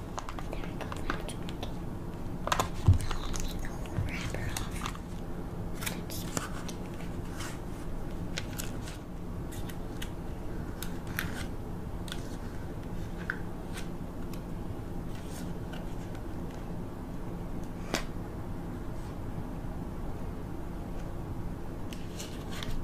There we go, that's working. Now let wrapper off. Let's Okay,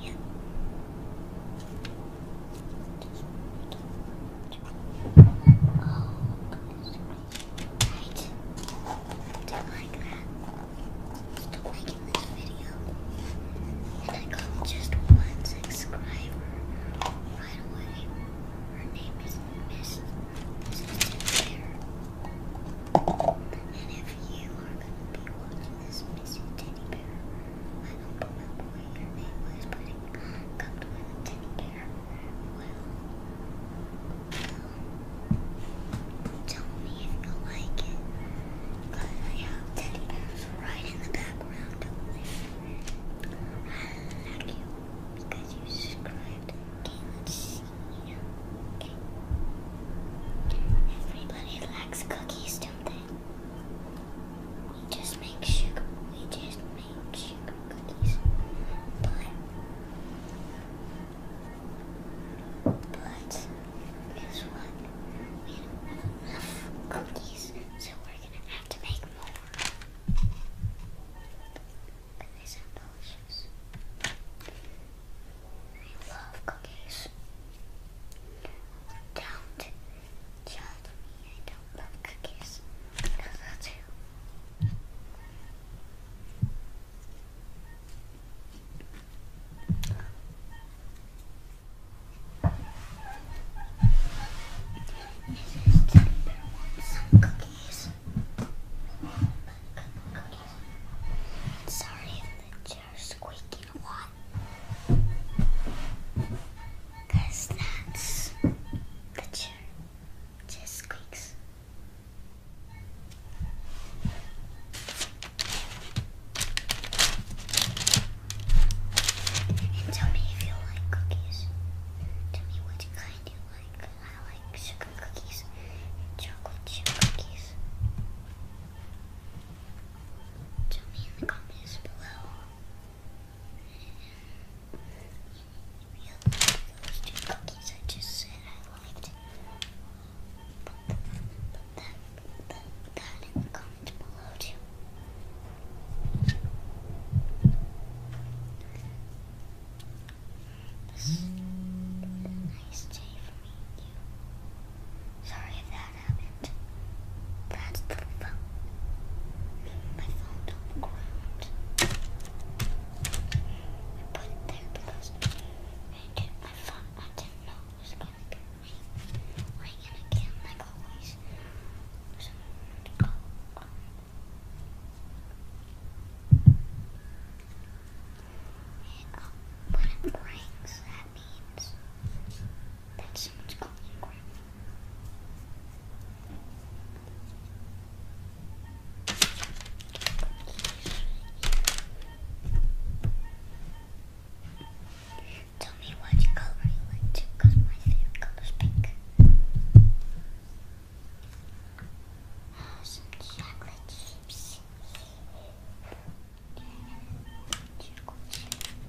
Yeah. Oh, Right. Don't like that. Still making this video. And I got just one subscriber right away. Her name is Miss Miss Fair. And if you are gonna be wanting this missing teddy bear, I don't remember what your name was, but it comes with a teddy bear. Well, well, tell me if you like it, because I have teddy bears right in the background over there. I like you because you subscribed. Okay, let's see. Everybody likes cookies, don't they? We just make sugar. We just make sugar cookies. But, but guess what? We don't have enough cookies, so we're gonna have to make more and they sound delicious. I love cookies. Don't judge me, I don't love cookies. Because I do. Is it some cookies? Sorry if the chair's squeaking a lot. that's the chair just squeaks. And tell me if you like cookies. Tell me what kind you like. I like sugar cookies and chocolate chip cookies. Tell me in the comments below. Put, that in the comments below too. This is a nice day for me you. Sorry if that happened. That's the phone. My phone on the ground. I put it there because I did not know it was going to be ringing again, like always. So I'm to go. Um, Oh, but it brings, that means that someone's calling Grandma. Tell me what color you like because my favorite color is pink. Oh, some chocolate chips. Two chocolate Two chocolate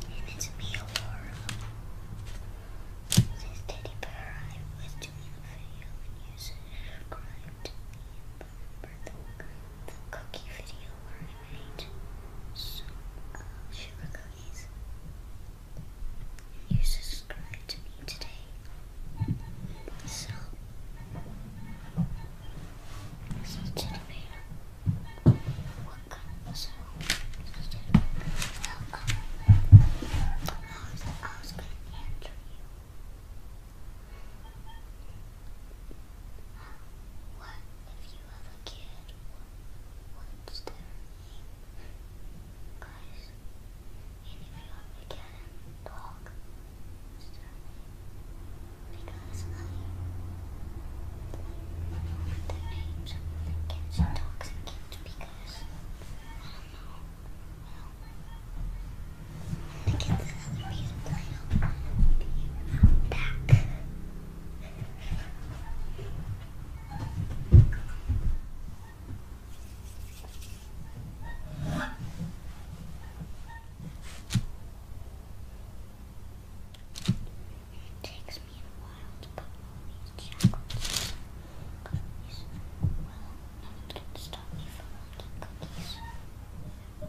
And it's me, Aurora. This teddy bear I was doing a video and you subscribed to me and the, cookie video where I made uh, sugar cookies. You subscribed to me today. So, so teddy bear, what I you. What if you have a kid? What's their name? if you have a cat and Because I, the names of cats and dogs and because I don't know. I don't want to get this other piece of play back. It takes me a while to put all these chocolates cookies. Well, no one stop me from making cookies. Wow,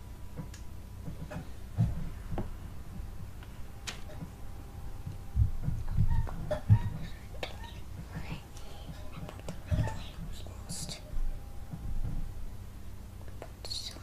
most. But sorry. Sorry.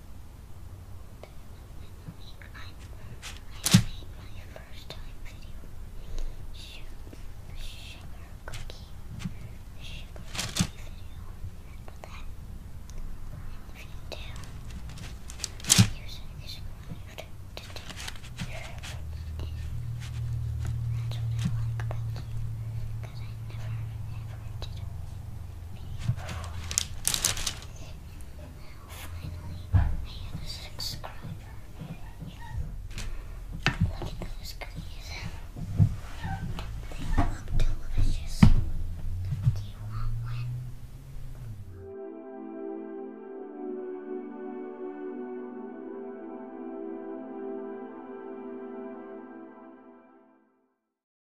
I made my first time video. Sugar, cookie, sugar cookie video. you That's what I like about you, because I never ever did Finally, I have a subscriber. Look at those cookies. They look delicious. Do you want one?